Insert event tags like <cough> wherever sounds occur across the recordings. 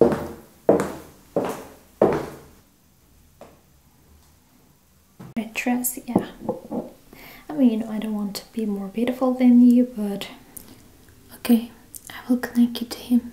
I dress, yeah. I mean, I don't want to be more beautiful than you, but okay, I will connect you to him.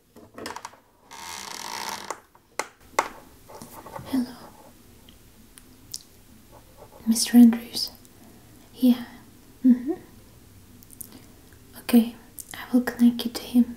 Hello. Mr. Andrews? Yeah. Mm-hmm. Okay, I will connect you to him.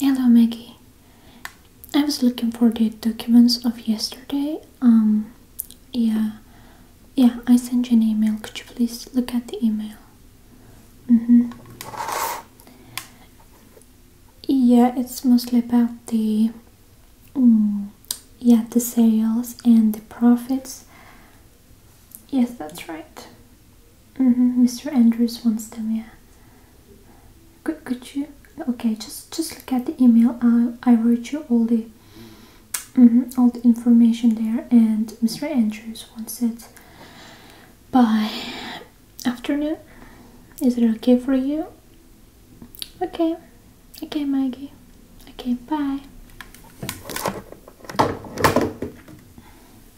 Hello, Maggie. I was looking for the documents of yesterday. Um, yeah, yeah, I sent you an email. Could you please look at the email? Mm hmm. Yeah, it's mostly about the, mm, yeah, the sales and the profits. Yes, that's right. Mm -hmm. Mr. Andrews wants them, yeah. Could, could you? Okay, just just look at the email. Uh, I wrote you all the mm -hmm, all the information there, and Mr. Andrews wants it by afternoon. Is it okay for you? Okay, okay, Maggie. Okay, bye.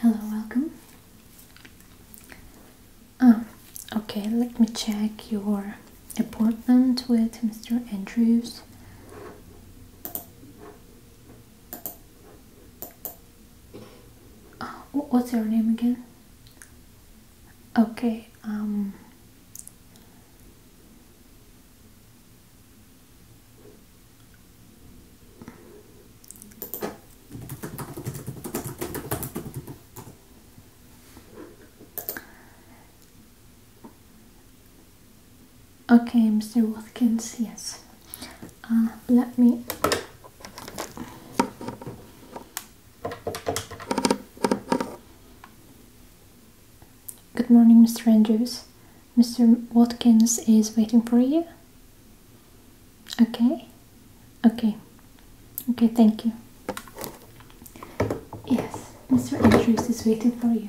Hello, welcome. Oh, okay, let me check your appointment with Mr. Andrews. Oh, what's your name again? Okay, um, Okay, Mr. Watkins, yes. Uh, let me Good morning, Mr. Andrews. Mr. Watkins is waiting for you. Okay. Okay. Okay, thank you. Yes, Mr. Andrews is waiting for you.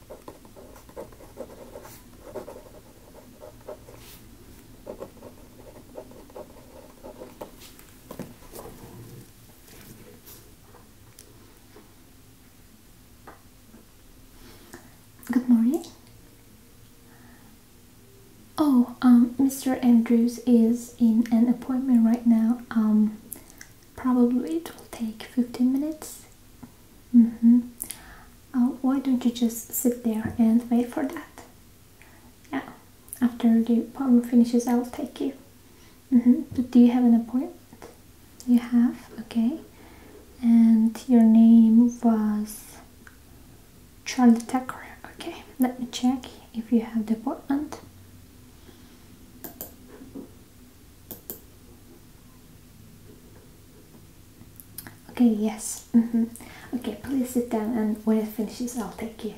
Good morning. Oh, um, Mr. Andrews is in an appointment right now. Um, Probably it will take 15 minutes. Mm -hmm. why don't you just sit there and wait for that? Yeah, after the power finishes, I'll take you. Mm -hmm. do you have an appointment? You have, okay. And your name was Charlie Tucker. Okay, let me check if you have the appointment. Okay, yes. Mm -hmm. Okay, please sit down and when it finishes, I'll take you.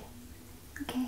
Okay.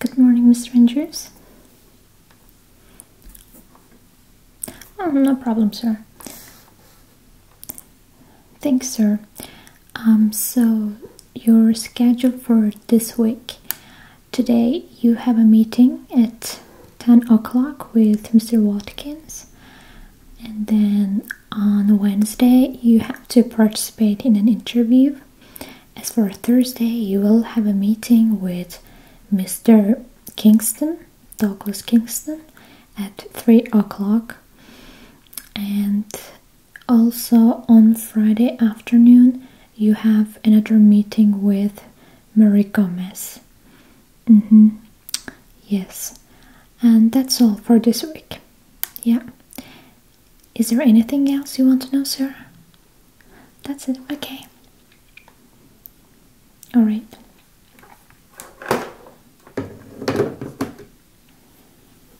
Good morning, Mr. Andrews. Oh, no problem, sir. Thanks, sir. Um, so your schedule for this week. Today you have a meeting at 10 o'clock with Mr. Watkins, and then on Wednesday you have to participate in an interview. As for Thursday, you will have a meeting with Mr. Kingston, Douglas Kingston, at 3 o'clock. And also, on Friday afternoon, you have another meeting with Marie Gomez. Mm-hmm. Yes, and that's all for this week. Yeah. Is there anything else you want to know, sir? That's it. Okay. All right.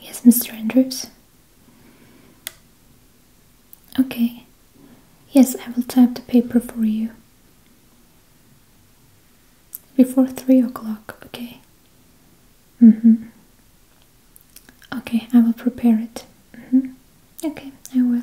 Yes, Mr. Andrews. Okay. Yes, I will type the paper for you. Before three o'clock, okay. Mm-hmm. Okay, I will prepare it. Mm-hmm. Okay, I will.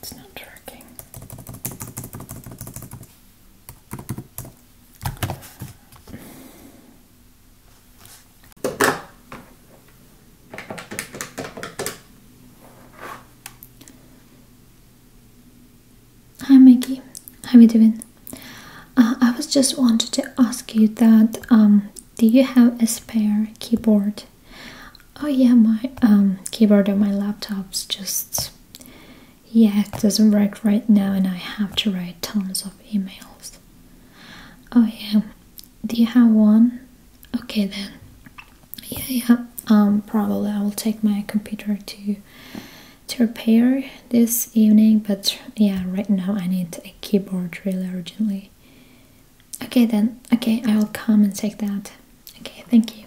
It's not working. Hi Maggie, how are you doing? Uh, I was just wanted to ask you that um, do you have a spare keyboard? Oh yeah, my um, keyboard on my laptop's just yeah, it doesn't work right now, and I have to write tons of emails. Oh, yeah. Do you have one? Okay, then. Yeah, yeah. Um, probably I will take my computer to to repair this evening, but yeah, right now I need a keyboard really urgently. Okay, then. Okay, I will come and take that. Okay, thank you.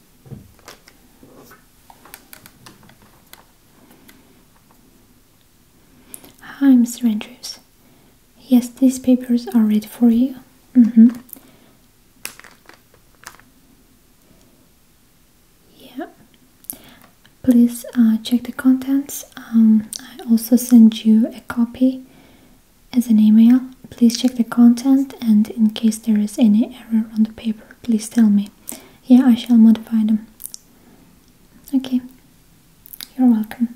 Hi, Mr. Andrews. Yes, these papers are ready for you. Mm hmm. Yeah. Please uh, check the contents. Um, I also send you a copy as an email. Please check the content and in case there is any error on the paper, Please tell me. Yeah, I shall modify them. Okay. You're welcome.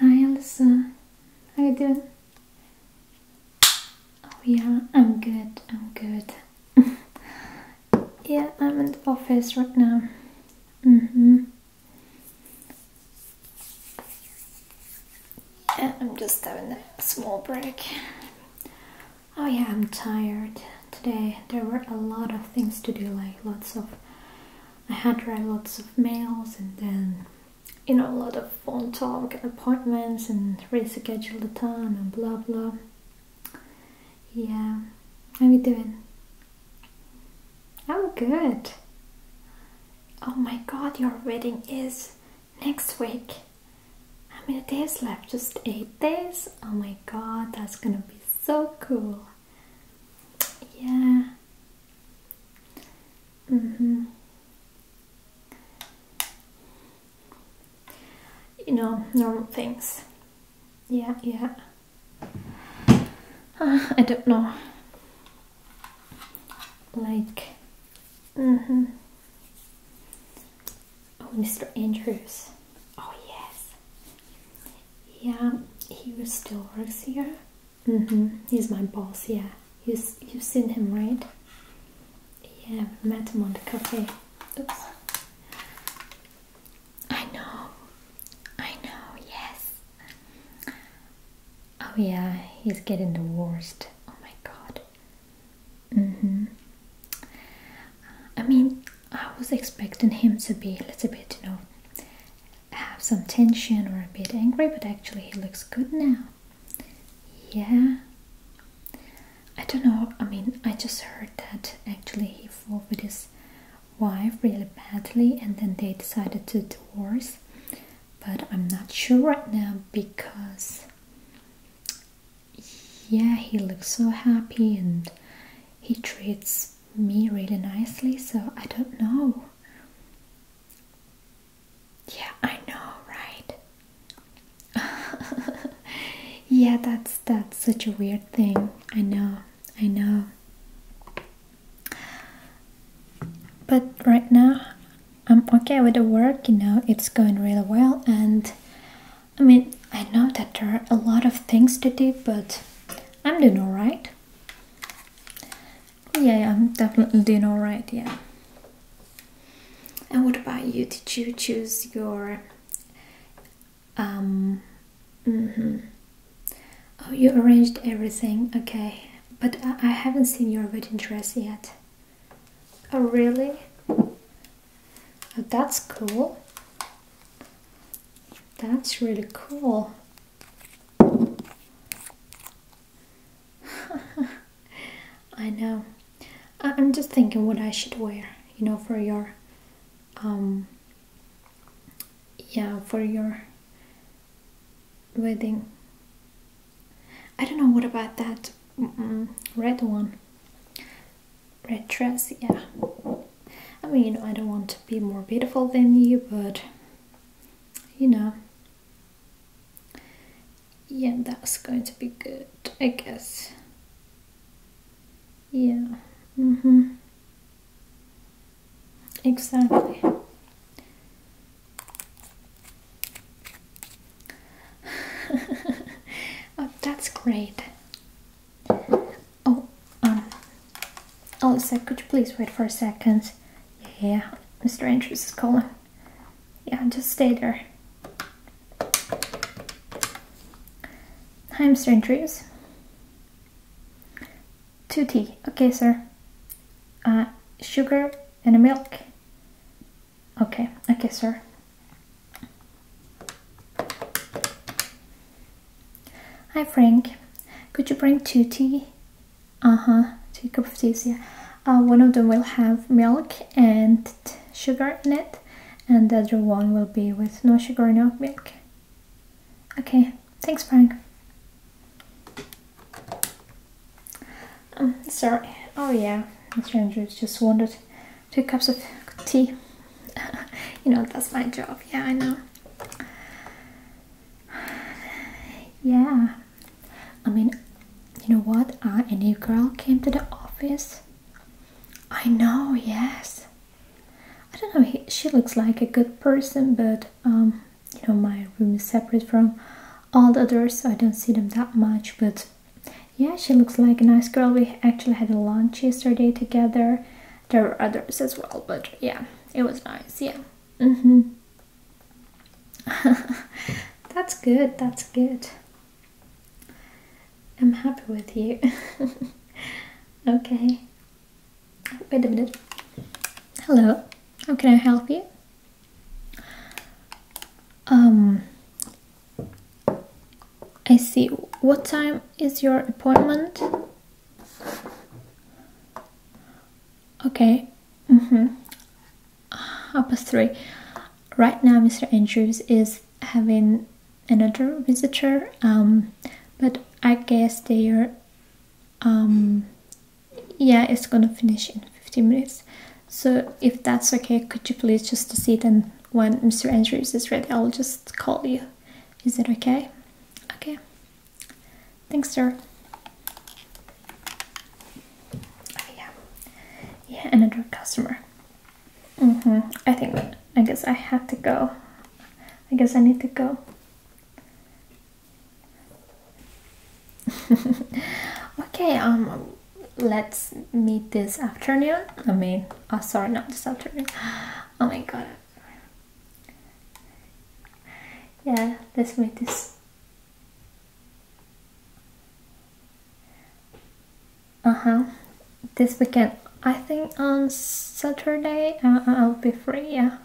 Hi Alyssa, how you doing? Oh yeah, I'm good, I'm good. <laughs> yeah, I'm in the office right now. Mm-hmm. Yeah, I'm just having a small break. Oh yeah, I'm tired today. There were a lot of things to do, like lots of I had to write lots of mails and then, you know, a lot of phone talk appointments and reschedule the time and blah blah. Yeah, how you doing? I'm good. Oh my god, your wedding is next week. How many days left? Just eight days? Oh my god, that's gonna be so cool. Yeah, Mm-hmm. You know, normal things. Yeah, yeah. <sighs> I don't know. Like, mm-hmm. Oh, Mr. Andrews. Oh, yes. Yeah, he still works here. Mm-hmm. He's my boss, yeah. You, you've seen him, right? Yeah, we met him on the cafe. Oops. I know. I know, yes. Oh yeah, he's getting the worst. Oh my god. Mm-hmm. I mean, I was expecting him to be a little bit, you know, have some tension or a bit angry, but actually he looks good now. Yeah. I don't know, I mean, I just heard that actually he fought with his wife really badly and then they decided to divorce. But I'm not sure right now because, yeah, he looks so happy and he treats me really nicely, so I don't know. Yeah, I know, right? <laughs> yeah, that's that's such a weird thing. I know, I know. But right now, I'm okay with the work, you know, it's going really well. And I mean, I know that there are a lot of things to do, but I'm doing alright. Yeah, I'm definitely doing all right. Yeah. And what about you? Did you choose your um? Mm Oh, you arranged everything. Okay, but I, I haven't seen your wedding dress yet. Oh, really? Oh, that's cool. That's really cool. <laughs> I know. I'm just thinking what I should wear, you know, for your, um, yeah, for your wedding. I don't know, what about that red one? Red dress, yeah. I mean, I don't want to be more beautiful than you, but you know. Yeah, that's going to be good, I guess. Yeah. Mm-hmm. Exactly. <laughs> Oh, that's great. Oh, um, Elsa, oh, could you please wait for a second? Yeah, Mr. Andrews is calling. Yeah, just stay there. Hi, Mr. Andrews. 2 tea, Okay, sir. Uh, sugar and a milk. Okay, okay, sir. Hi Frank, could you bring two tea? Uh huh, two cup of tea. yeah. Uh, one of them will have milk and sugar in it, and the other one will be with no sugar, no milk. Okay, thanks, Frank. Um, sorry. Oh yeah, Mr. Andrews just wanted two cups of tea. <laughs> you know that's my job. Yeah, I know. <sighs> yeah. I mean, you know what? A new girl came to the office. I know, yes. I don't know, she looks like a good person, but um, you know, my room is separate from all the others, so I don't see them that much. But yeah, she looks like a nice girl. We actually had a lunch yesterday together, there were others as well, but yeah, it was nice. Yeah. Mm-hmm. <laughs> that's good. That's good. I'm happy with you. <laughs> okay. Wait a minute. Hello. How can I help you? Um I see. What time is your appointment? Okay. Mm-hmm. Half three. Right now, Mr. Andrews is having another visitor, um, but I guess they're, um, yeah, it's gonna finish in 15 minutes. So if that's okay, could you please just sit and when Mr. Andrews is ready, I'll just call you. Is that okay? Okay. Thanks, sir. yeah. Yeah, another customer. hmm I think I guess I have to go. I guess I need to go. <laughs> okay, um let's meet this afternoon. I mean oh sorry not this afternoon. <gasps> Oh my god, yeah, let's make this. Uh-huh. This weekend. I think on Saturday uh, uh, I'll be free, yeah.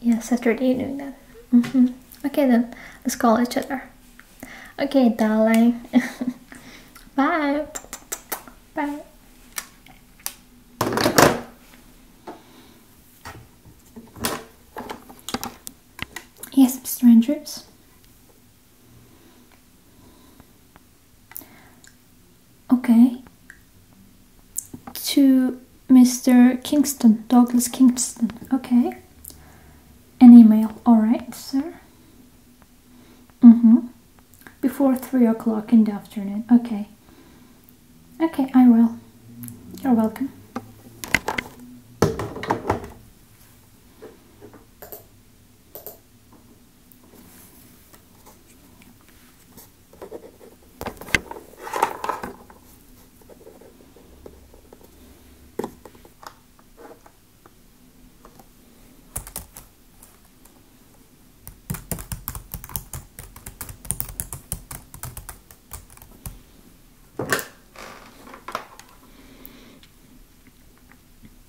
Yeah, Saturday doing that. Mm Okay then, let's call each other. Okay, darling. <laughs> Bye. Bye. Yes, Mr. Andrews. Okay. To Mr. Kingston, Douglas Kingston. Okay. An email. Alright, sir. Mm hmm. Before 3 o'clock in the afternoon. Okay. Okay, I will. You're welcome.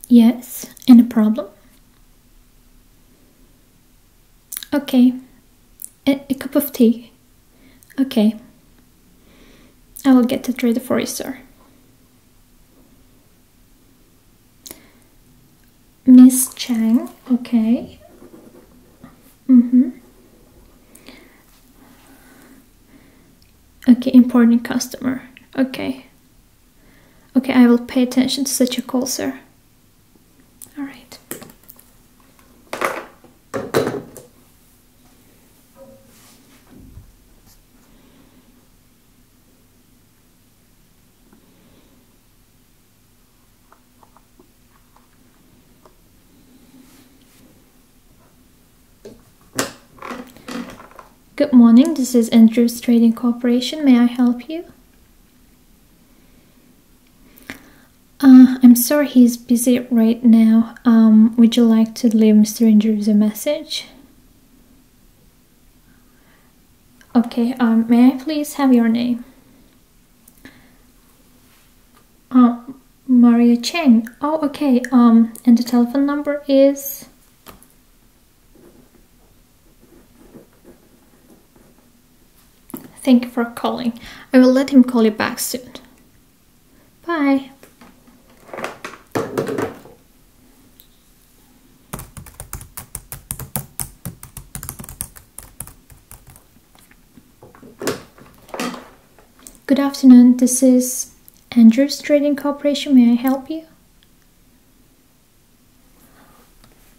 Yes, any problem? Okay, a, cup of tea. Okay, I will get it ready for you, sir. Miss Chang, okay. Mm-hmm. Okay, important customer. Okay. Okay, I will pay attention to such a call, sir. All right. Good morning, this is Andrews Trading Corporation. May I help you? Uh, I'm sorry he's busy right now. Um, would you like to leave Mr. Andrews a message? Okay, um, may I please have your name? Uh, Maria Cheng. Oh, okay. Um, and the telephone number is. Thank you for calling. I will let him call you back soon. Bye. Good afternoon, this is Andrews Trading Corporation. May I help you?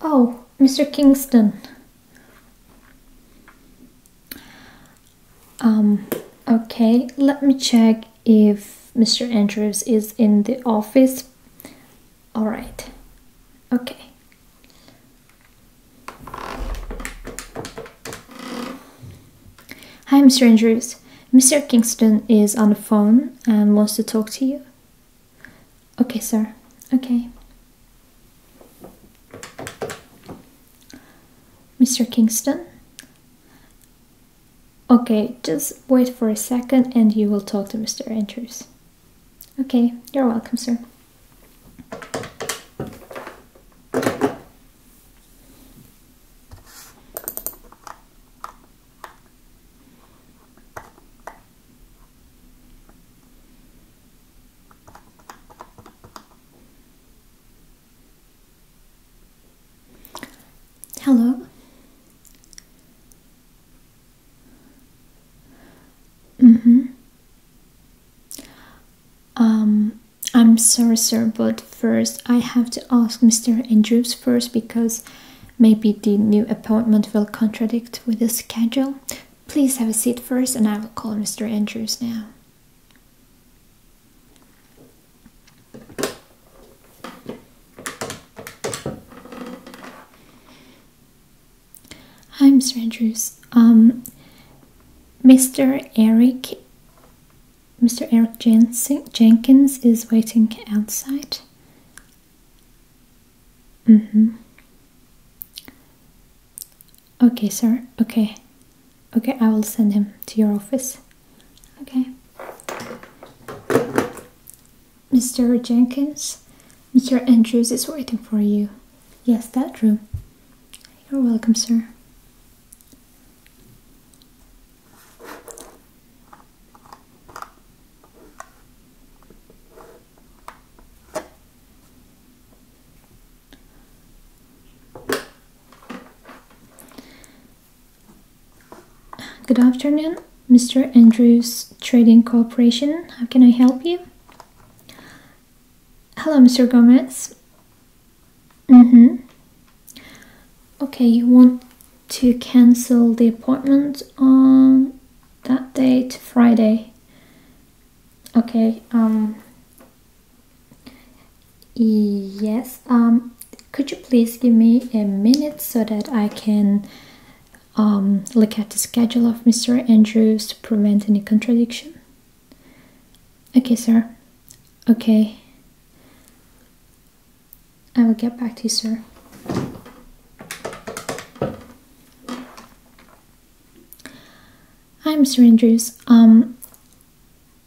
Oh, Mr. Kingston. Um, okay, let me check if Mr. Andrews is in the office. All right. Okay. Hi, Mr. Andrews. Mr. Kingston is on the phone and wants to talk to you. Okay, sir. Okay. Mr. Kingston? Okay, just wait for a second and you will talk to Mr. Andrews. Okay, you're welcome, sir. Hello. Mm-hmm. Um, I'm sorry, sir, but first I have to ask Mr. Andrews first because maybe the new appointment will contradict with the schedule. Please have a seat first, and I will call Mr. Andrews now. Hi, Mr. Andrews. Um, Mr. Eric, Mr. Eric Jenkins is waiting outside. Mm hmm. Okay, sir. Okay. Okay, I will send him to your office. Okay. Mr. Jenkins, Mr. Andrews is waiting for you. Yes, that room. You're welcome, sir. Good afternoon. Mr. Andrews Trading Corporation. How can I help you? Hello, Mr. Gomez. Mm-hmm. Okay, you want to cancel the appointment on that date, Friday. Okay, um yes, um could you please give me a minute so that I can um, look at the schedule of Mr. Andrews to prevent any contradiction. Okay, sir. Okay. I will get back to you, sir. Hi, Mr. Andrews. Um,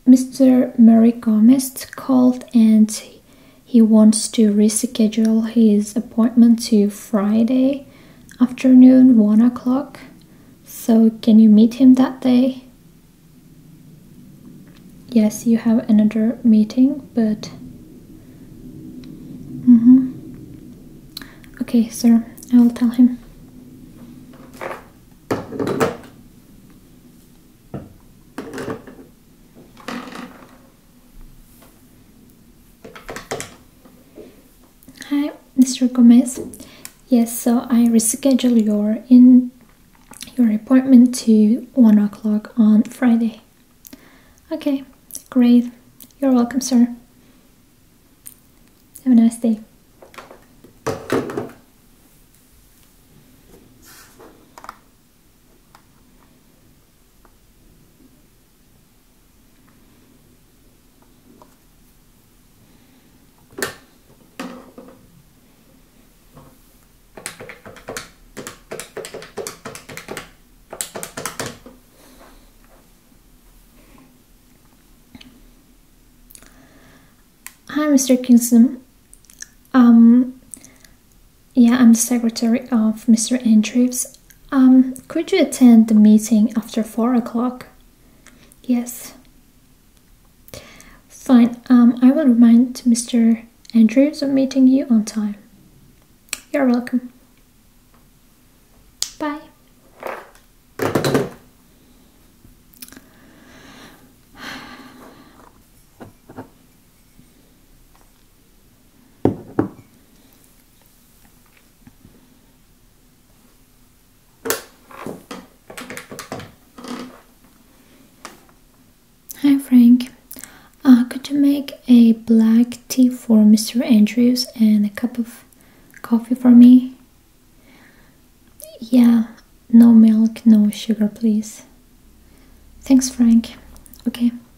Mr. Murray Gomez called and he wants to reschedule his appointment to Friday afternoon, 1 o'clock. So, can you meet him that day? Yes, you have another meeting, but. Mm -hmm. Okay, sir, I will tell him. Hi, Mr. Gomez. Yes, so I reschedule your in your appointment to one o'clock on Friday. Okay, great. You're welcome, sir. Have a nice day. Hi, Mr. Kingston. Um, yeah, I'm the secretary of Mr. Andrews. Um, could you attend the meeting after four o'clock? Yes. Fine. Um, I will remind Mr. Andrews of meeting you on time. You're welcome. Bye. Hi Frank, uh, could you make a black tea for Mr. Andrews and a cup of coffee for me? Yeah, no milk, no sugar, please. Thanks, Frank. Okay.